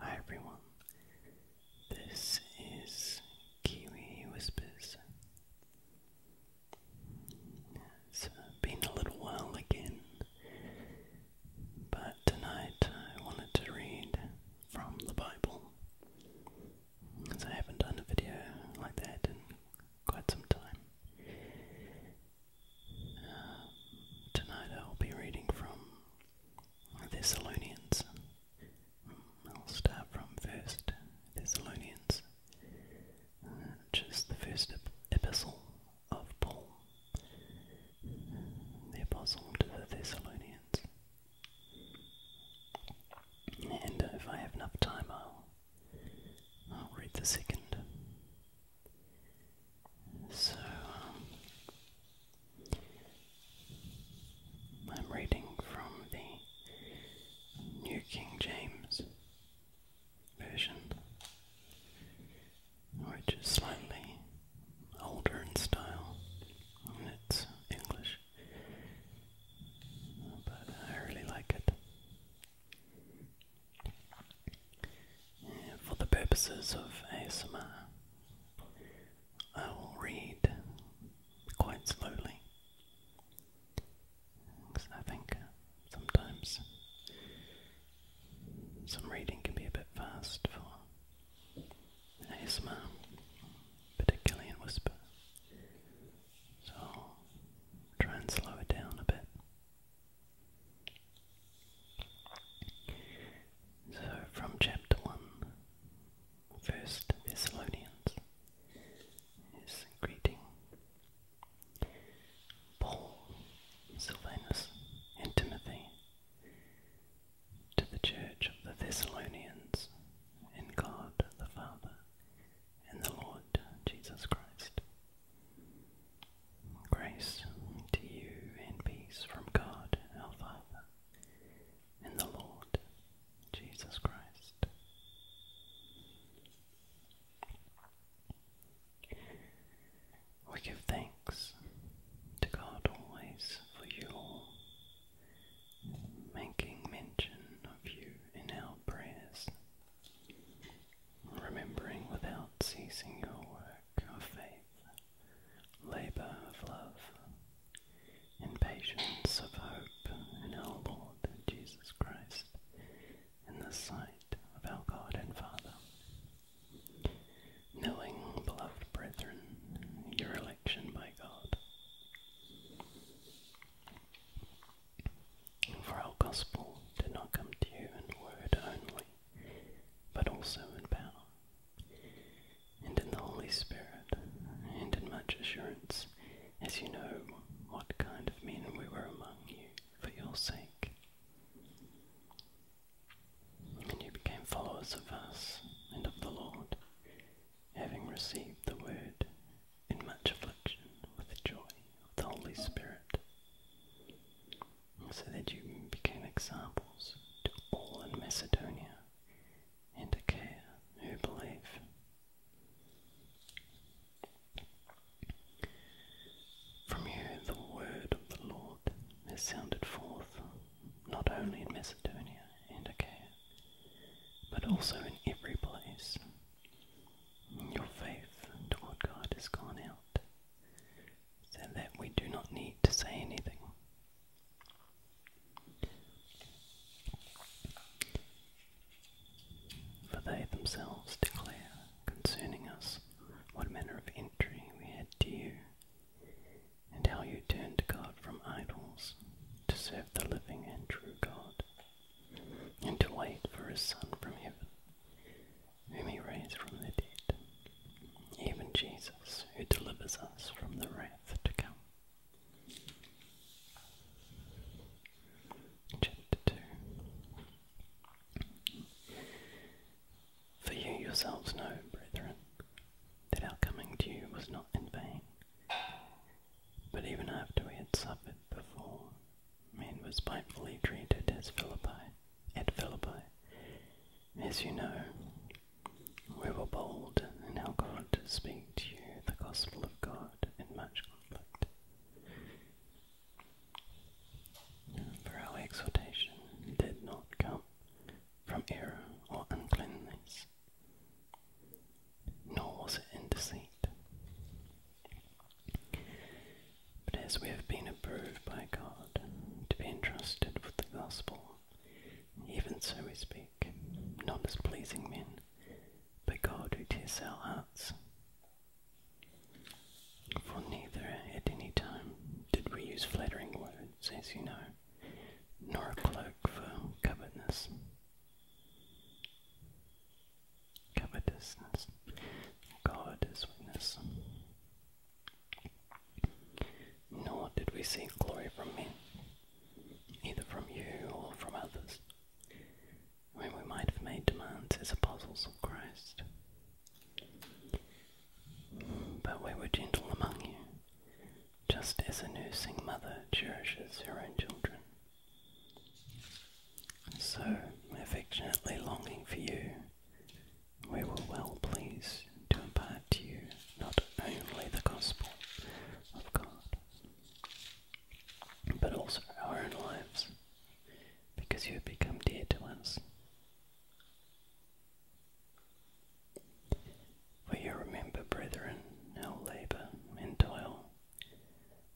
Hi everyone, this is Kiwi Whispers. It's uh, been a little while again, but tonight I wanted to read from the Bible as I haven't done a video like that in quite some time. Uh, tonight I'll be reading from Thessalonians. Mm, I'll start from First Thessalonians, which is the first epistle of Paul, the apostle to the Thessalonians. And if I have enough time, I'll, I'll read the second. So, um, I'm reading from the New King James Version, which is slightly older in style in its English but I really like it. for the purposes of ASMR, I will read quite slowly because I think sometimes some reading can be a bit fast for ASMR, particularly in whisper. So try and slow it down a bit. So from chapter 1, Thessalonians is greeting Paul, Silvanus, and Timothy to the church of the Thessalonians, in God the Father and the Lord Jesus Christ. Grace to you and peace from God our Father and the Lord Jesus Christ. We give thanks to God always for you all making mention of you in our prayers, remembering without ceasing your work of faith, labour of love, and patience of hope in our Lord Jesus Christ, in the sight of our God and Father. Knowing, beloved brethren, your election by God, for our gospel did not come to you in word only, but also in power, and in the Holy Spirit, and in much assurance, as you know what kind of men we were among you for your sake. And you became followers of us and of the Lord, having received the word in much affliction with the joy of the Holy Spirit, so that you became examples to all in Macedonia and Achaia who believe. From you the word of the Lord has sounded forth, not only in Macedonia and Achaia, but also in every place. Your faith toward God has gone out, so that we do not need to say anything. For they themselves declare concerning us what manner of entry we had to you, and how you turned to God from idols, to serve the living and true God, and to wait for his Son from heaven, whom he raised from the dead, even Jesus, who delivers us from the wrath to come. Chapter 2 For you yourselves know, brethren, that our coming to you was not in vain. But even after we had suffered before, we were spitefully treated as Philippi, at Philippi. As you know, we were bold in our God to speak to you the gospel of God in much conflict. For our exhortation did not come from error or uncleanness, nor was it in deceit. But as we have been approved by God to be entrusted with the gospel, even so we speak, not as pleasing men, but God who tests our hearts. For neither at any time did we use flattering words, as you know, nor a cloak for covetousness, God is witness. Nor did we seek glory from men, either from you or from others, when we made demands as apostles of Christ. But we were gentle among you, just as a nursing mother cherishes her own children. So, affectionately longing for you, we will well please to impart to you not only the gospel of God, but also our own lives, because you have become dear to us. For you remember, brethren, our labour and toil,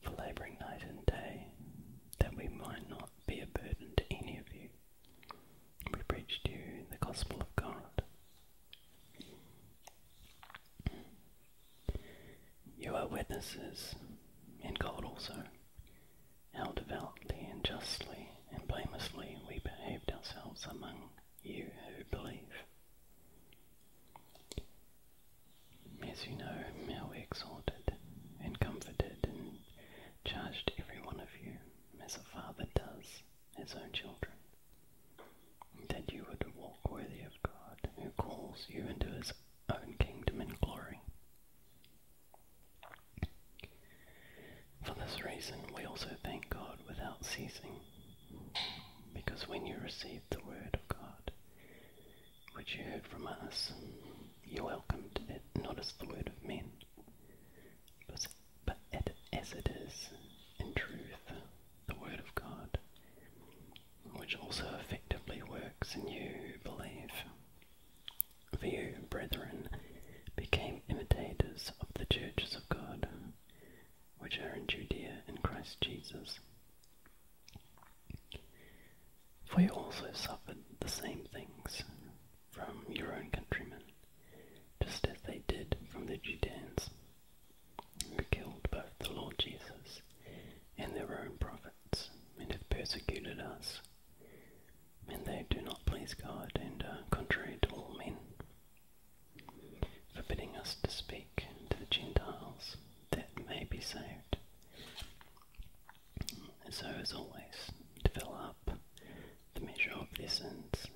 for labouring night and day, that we might not be a burden to any of you. We preached you the gospel of God. You are witnesses, in God also, how devoutly and justly and blamelessly we behaved ourselves among you who believe. As you know, how we exhorted and comforted and charged every one of you, as a father does his own children, that you would walk worthy of God, who calls you into his own kingdom and glory. For this reason, we also thank God without ceasing, because when you receive the word of God, which you heard from us, you welcomed it not as the word of men, but, as it is, in truth, the word of God, which also effectively works in you who believe. For you, brethren, became imitators of the churches of God, which are in Judea in Christ Jesus. For you also suffered the same things from your own countrymen, just as they did from the Judeans, who killed both the Lord Jesus and their own prophets, and have persecuted us. And they do not please God and are contrary to all men, forbidding us to speak to the Gentiles that may be saved. So, as always, to fill up the measure of their sins,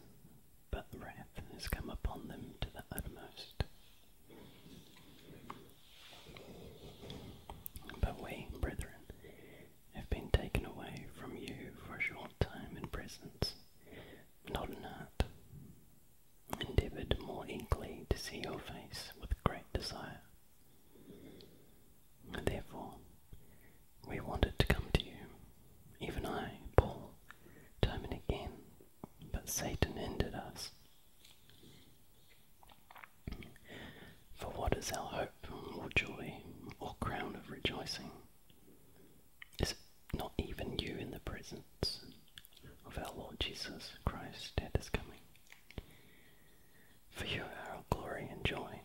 but the wrath has come upon them to the uttermost. But we, brethren, have been taken away from you for a short time in presence, not in heart, endeavoured more eagerly to see your face with great desire. Therefore, we wanted to come to you, even I, Paul, time and again, but Satan hindered us. For what is our hope, or joy, or crown of rejoicing? Is it not even you in the presence of our Lord Jesus Christ that is coming. For your our glory and joy.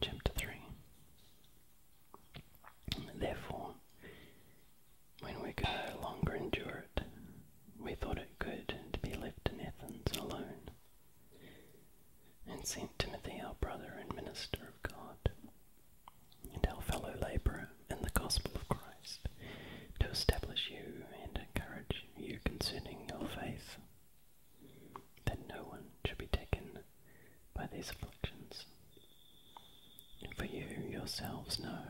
Chapter 3 Therefore, when we could no longer endure it, we thought it good to be left in Athens alone, and sent Timothy, our brother and minister of God, and our fellow labourer in the gospel of Christ, to establish you and encourage you concerning your faith, that no one should be taken by these afflictions. For you yourselves know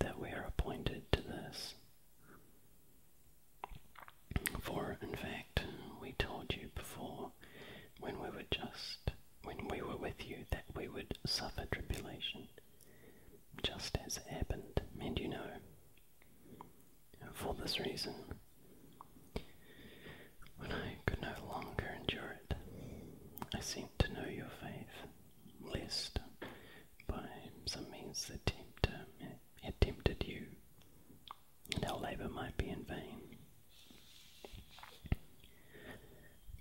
that we are appointed to this. For in fact, we told you before when we were just when we were with you that we would suffer tribulation, just as it happened, and you know. For this reason, when I could no longer endure it, I sent to know your faith, lest by some means the tempter had tempted you, and our labour might be in vain.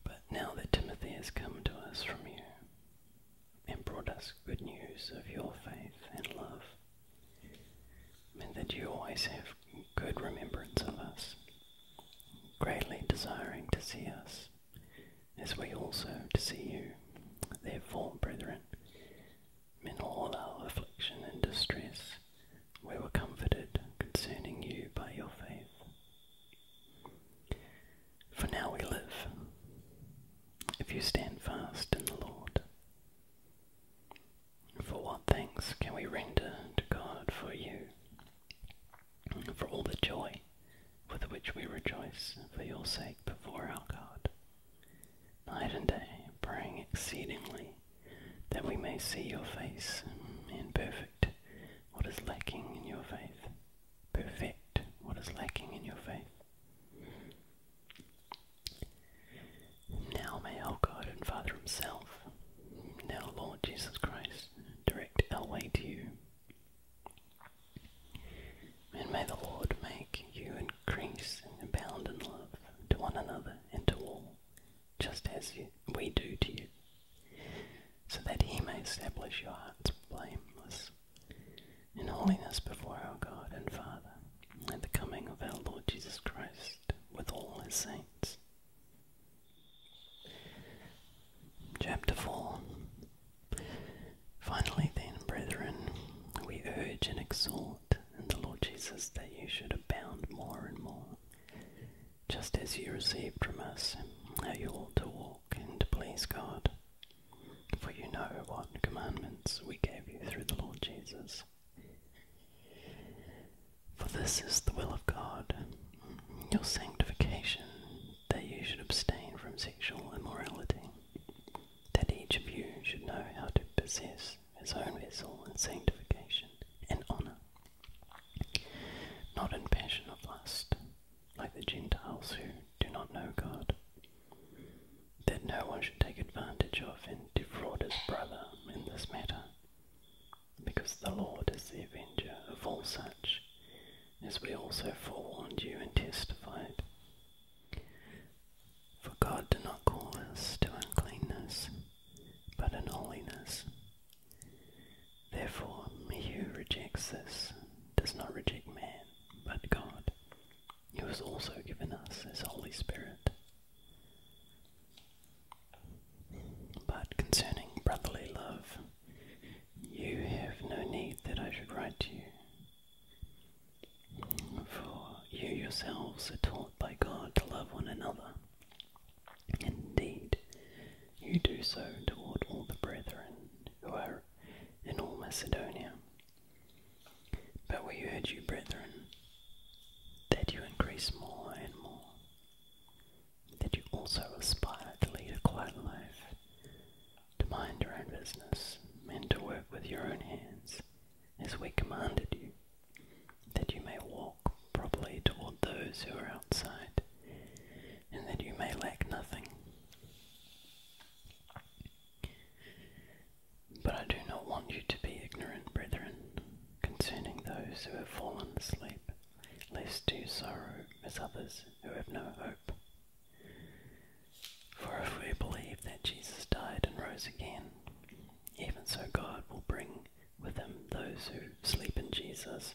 But now that Timothy has come to us from you and brought us good news of your faith and love, and that you always have good remembrance of us, greatly desiring to see us, as we also to see you. Therefore, brethren, in all our affliction and distress, we were comforted concerning you by your faith. For now we live, if you stand fast in the Lord. For what thanks can we render to God for you, for all the joy with which we rejoice for your sake before our God, night and day, praying exceedingly that we may see your face in perfect what is lacking in your faith. Perfect what is lacking in your faith. Now may our God and Father Himself, now Lord Jesus Christ, direct our way to you. And may the Lord make you increase and abound in love to one another and to all, just as you, we do to you so that he may establish your hearts blameless in holiness before our God and Father, at the coming of our Lord Jesus Christ with all his saints. Chapter 4 Finally, then, brethren, we urge and exhort in the Lord Jesus that you should abound more and more, just as you received from us, how you ought to walk and to please God. For you know what commandments we gave you through the Lord Jesus. For this is the will of God, your sanctification, that you should abstain from sexual immorality, that each of you should know how to possess his own vessel in sanctification and honour, not in passion of lust, like the Gentiles who do not know God, that no one should take advantage of and defraud his brother in this matter, because the Lord is the avenger of all such, as we also forewarned you and testified. For God did not call us to uncleanness, but to holiness Therefore, he who rejects this does not reject man, but God, who has also given us his Holy Spirit. But concerning brotherly love, you have no need that I should write to you. For you yourselves are taught by God to love one another. Indeed, you do so toward all the brethren who are in all Macedonia. But we urge you, brethren, that you increase more and more, that you also aspire to lead a quiet life, to mind your own business, and to work with your own hands, as we commanded you, that you may walk properly toward those who are outside, and that you may lack nothing. But I do not want you to be ignorant, brethren, concerning those who have fallen asleep, lest you sorrow as others who have no hope. For if we believe that Jesus died and rose again, even so God will bring with him those who sleep in Jesus.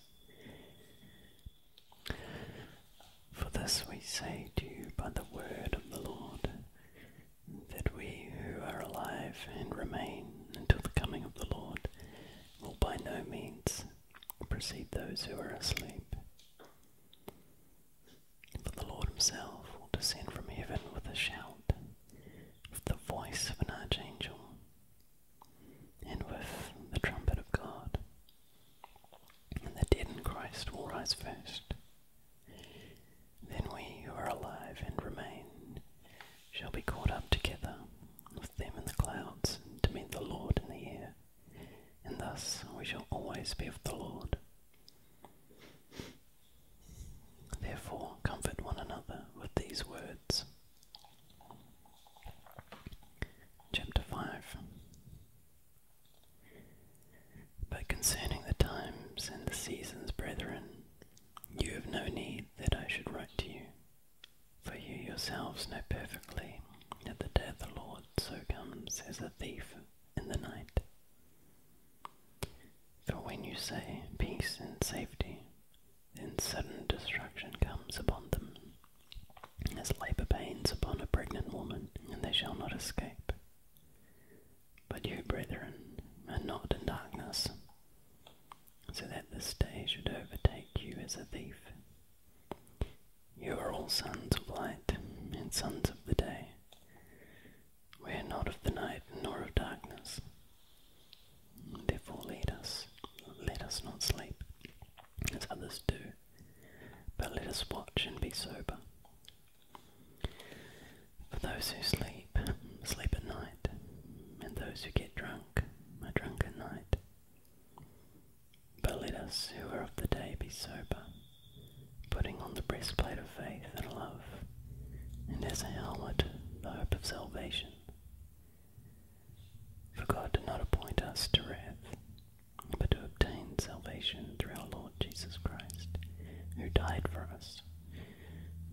For this we say to you by the word of the Lord, that we who are alive and remain until the coming of the Lord will by no means precede those who are asleep. For the Lord himself will descend from heaven with a shout, with the voice of an archangel, and with the trumpet of God. And the dead in Christ will rise first. Then we who are alive and remain shall be caught up together with them in the clouds to meet the Lord in the air, and thus we shall always be with the Lord. Therefore, comfort one another with these words. Chapter 5 But concerning the times and the seasons, brethren, you have no need that I should write to you, for you yourselves know perfectly that the day of the Lord so comes as a thief in the night. For when you say peace and safety, then sudden destruction comes upon them as labour pains upon a pregnant woman, and they shall not escape. But you, brethren, are not in darkness, so that the day should overtake you as a thief. You are all sons of light and sons of the day. We are not of the night nor of darkness. Therefore, lead us, let us not sleep, as others do, but let us watch and be sober. For those who sleep, sleep at night, and those who get drunk are drunk at night. But let us who are of the day be sober, putting on the breastplate of faith and love, and as a helmet the hope of salvation. For God did not appoint us to wrath, but to obtain salvation through our Lord Jesus Christ, who died for us,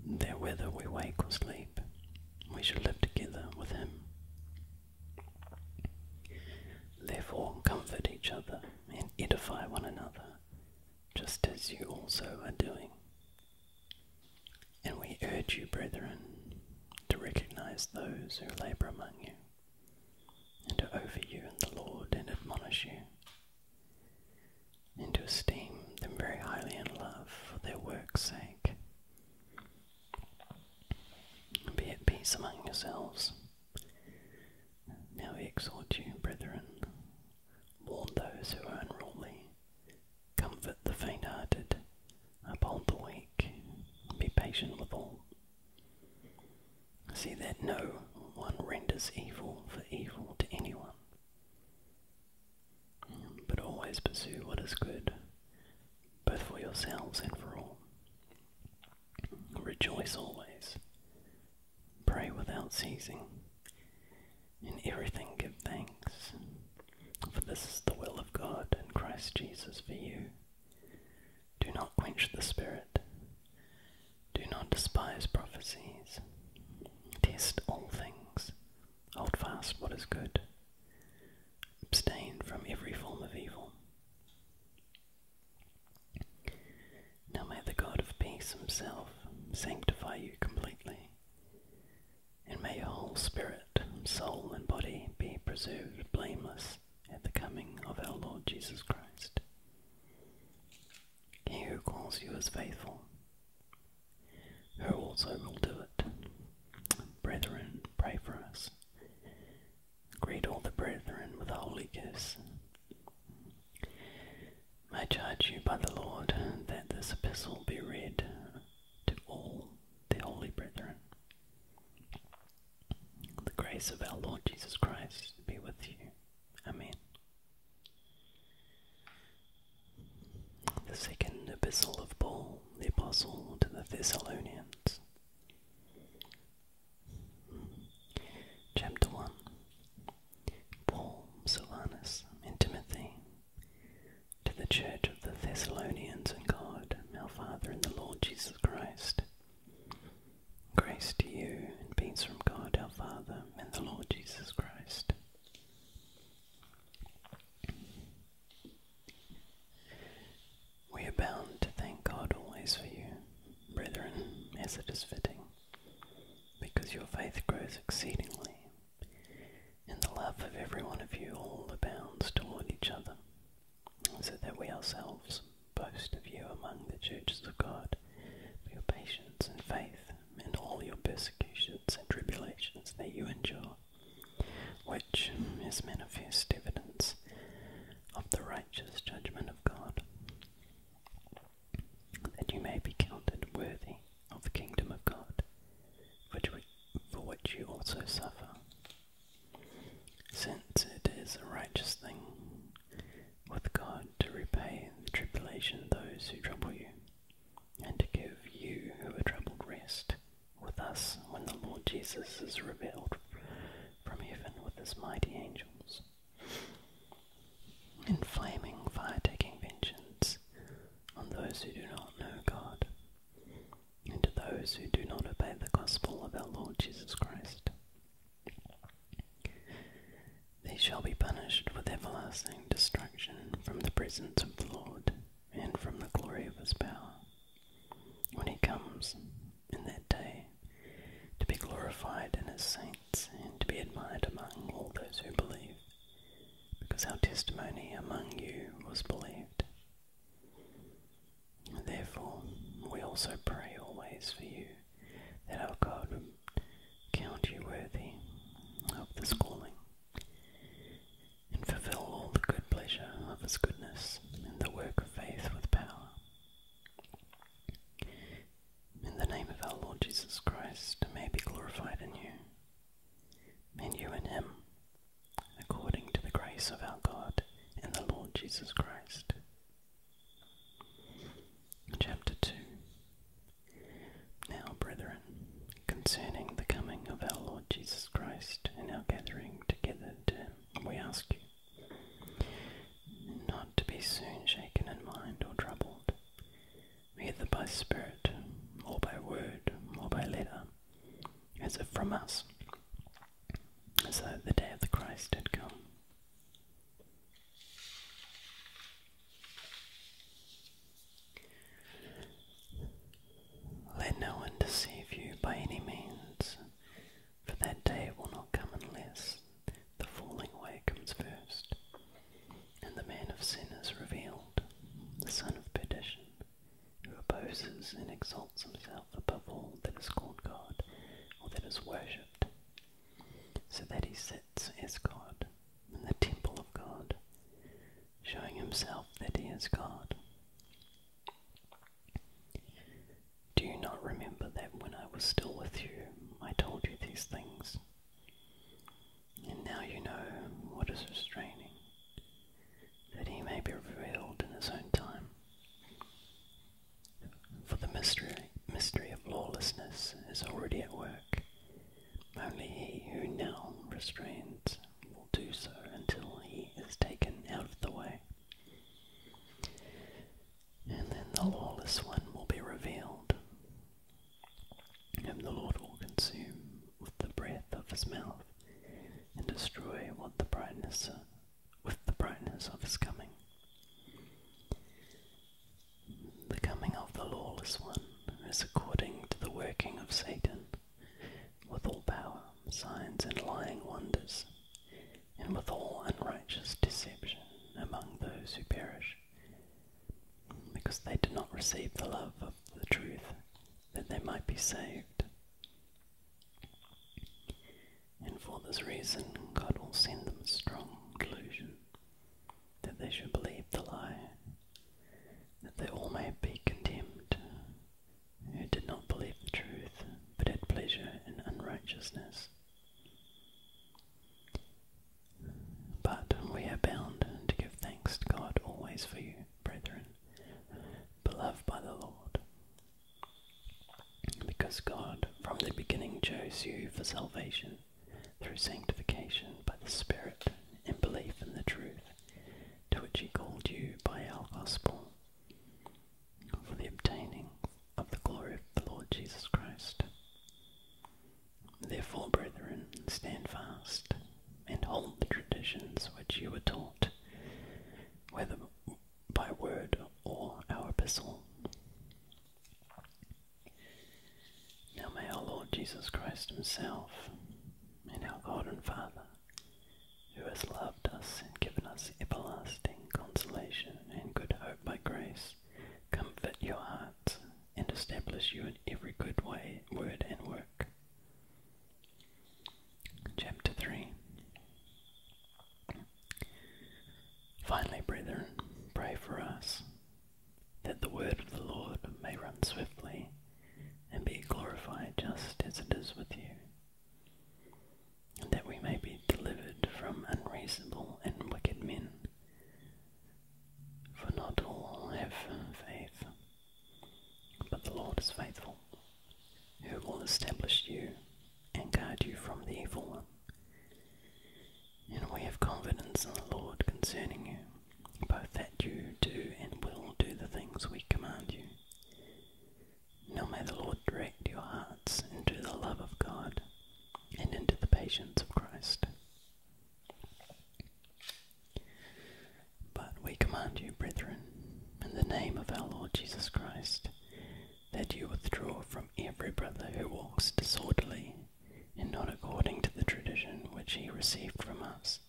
that whether we wake or sleep, we shall live together with him. Therefore, comfort each other and edify one another, just as you also are doing. And we urge you, brethren, to recognize those who labor among you, and to over you in the Lord and admonish you, and to esteem them very highly in love for their work's sake. Be at peace among yourselves. Now we exhort you, brethren, warn those who are unruly, comfort the faint hearted, Uphold the weak, be patient with all. See that no one renders evil for evil to anyone, but always pursue what is good, both for yourselves and for all. Rejoice always, pray without ceasing, in everything give thanks, for this is the will of God in Christ Jesus for you. Do not quench the spirit. Do not despise prophecies. Test all things. Hold fast what is good. Abstain from every form of evil. Now may the God of peace himself sanctify you completely, and may your whole spirit, soul, and body be preserved blameless at the coming of our Lord Jesus Christ. He who calls you is faithful, who also will do it. Brethren, pray for us. Greet all the brethren with a holy kiss. I charge you by the Lord that this epistle be read to all the holy brethren. The grace of our Lord Jesus Christ be with you. Amen. The second epistle of Paul, the Apostle to the Thessalonians. Chapter 1 Paul, Silvanus, and Timothy, to the Church of the Thessalonians in God, our Father in the Lord Jesus Jesus Christ. Grace to you and peace from God our Father and the Lord Jesus Christ. We are bound to thank God always for you, brethren, as it is fitting, because your faith grows exceedingly, and the love of every one of you all bounds toward each other, so that we ourselves boast of you among the churches of God, for your patience and faith, and all your persecutions and tribulations that you endure, which is manifest evidence of the righteous judgment of God, that you may be counted worthy of the kingdom of God, for which you also suffer since it is a righteous thing with God to repay the tribulation of those who trouble you, and to give you who are troubled rest with us when the Lord Jesus is revealed from heaven with his mighty angels, in flaming fire taking vengeance on those who do not know God, and to those who do not obey the gospel of our Lord Jesus Christ. They shall be punished with everlasting destruction from the presence of the Lord and from the glory of his power, when he comes in that day to be glorified in his saints and to be admired among all those who believe, because our testimony among you was believed Therefore, we also pray always for you, that our God would count you worthy of this calling, and fulfill all the good pleasure of his goodness in the work of faith with power. In the name of our Lord Jesus Christ, may be glorified in you, and you in him, according to the grace of our God and the Lord Jesus Christ. Chapter 2 Now, brethren, concerning the coming of our Lord Jesus Christ and our gathering together we ask you not to be soon shaken in mind or troubled, either by spirit or by word or by letter, as if from us, so the day of the Christ had come. Let no one deceive you by any means, for that day will not come unless the falling away comes first, and the man of sin is revealed, the son of perdition, who opposes and exalts himself above all that is called God or that is worshipped, so that he sits as God in the temple of God, showing himself that he is God. Do you not remember that when I was still with you, I told you these things? And now you know what is restraining, that he may be revealed in his own time. For the mystery, mystery of lawlessness is already at work. Only he who now restrains will do so until he is taken out of the way. And then the lawless one will be revealed, whom the Lord will consume with the breath of his mouth, and destroy what the brightness with the brightness of his coming. The coming of the lawless one is according to the working of Satan, with all power, signs, and lying wonders, and with all unrighteous deception among those who perish, because they did not receive the love of the truth, that they might be saved. And for this reason, God will send them a strong delusion that they should believe the lie, that they all may be condemned, who did not believe the truth, but had pleasure in unrighteousness. But we are bound to give thanks to God always for you, brethren, beloved by the Lord, because God from the beginning chose you for salvation through sanctification by the Spirit and belief in the truth, to which He called you by our gospel, for the obtaining of the glory of the Lord Jesus Christ. Therefore, brethren, stand fast and hold the traditions which you were taught, whether by word or our epistle. Now may our Lord Jesus Christ Himself and our God and Father, who has loved us and given us everlasting consolation and good hope by grace, comfort your hearts and establish you in every good way, word, and work. Chapter 3 Finally, brethren, pray for us, that the word of the Lord may run swiftly and be glorified just as it is with you, and that we may be delivered from unreasonable and wicked men. For not all have faith, but the Lord is faithful, who will establish you and guard you from the evil one. And we have confidence in the Lord concerning you, both that you do and will do the things we command you. Now may the Lord direct your hearts into the love of God and into the patience of Christ. But we command you, brethren, in the name of our Lord Jesus Christ, that you withdraw from every brother who walks disorderly, and not according to the tradition which he received from us.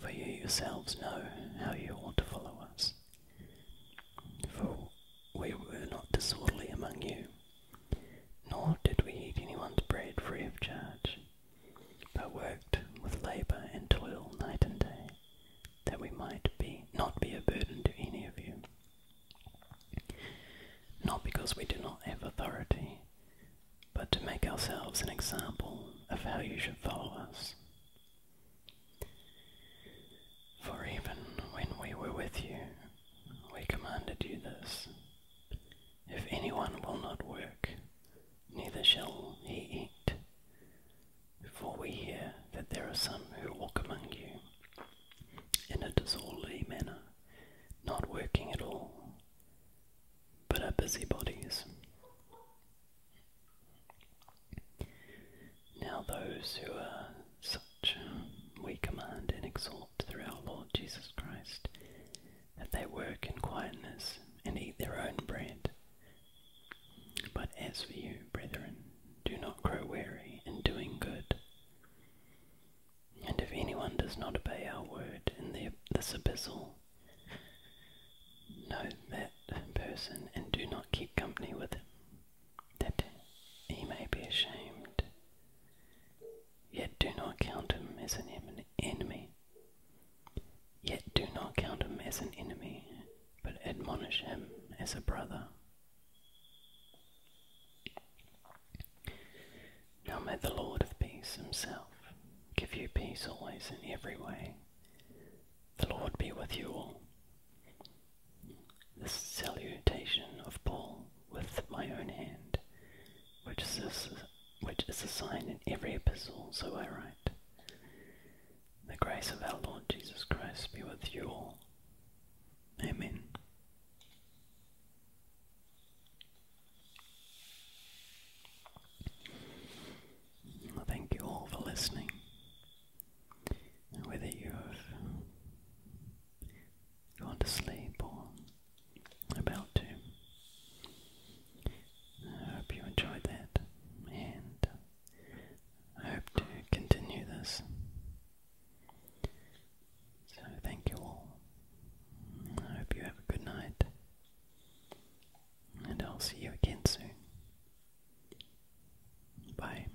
For you yourselves know how you ought to follow us. For we were not disorderly among you, nor did we eat anyone's bread free of charge, but worked with labour and toil night and day, that we might be not be a burden to any of you. Not because we do not have authority, but to make ourselves an example of how you should follow us. For even when we were with you, we commanded you this. If anyone will not work, neither shall he eat. Before we hear that there are some who walk among you in a disorderly manner, not working at all, but are busybodies. Now, those who are such we command and exhort through our Lord Jesus Christ that they work in quietness and eat their own bread, but as for you, brethren, do not grow weary in doing good. And if anyone does not obey our word in this abyssal, know that person and do not keep company with him, that he may be ashamed. Yet do not count him as an enemy. Yet do not count him as an enemy, but admonish him as a brother. Now may the Lord of peace himself give you peace always in every way. The Lord be with you all. This salutation of Paul with my own hand, which is, which is a sign in every epistle, so I write. The grace of our Lord Jesus Christ be with you all. Amen. thank you all for listening. Whether you have gone to sleep or about to, I hope you enjoyed that. And I hope to continue this. So, thank you all. I hope you have a good night. And I'll see you again soon. Bye.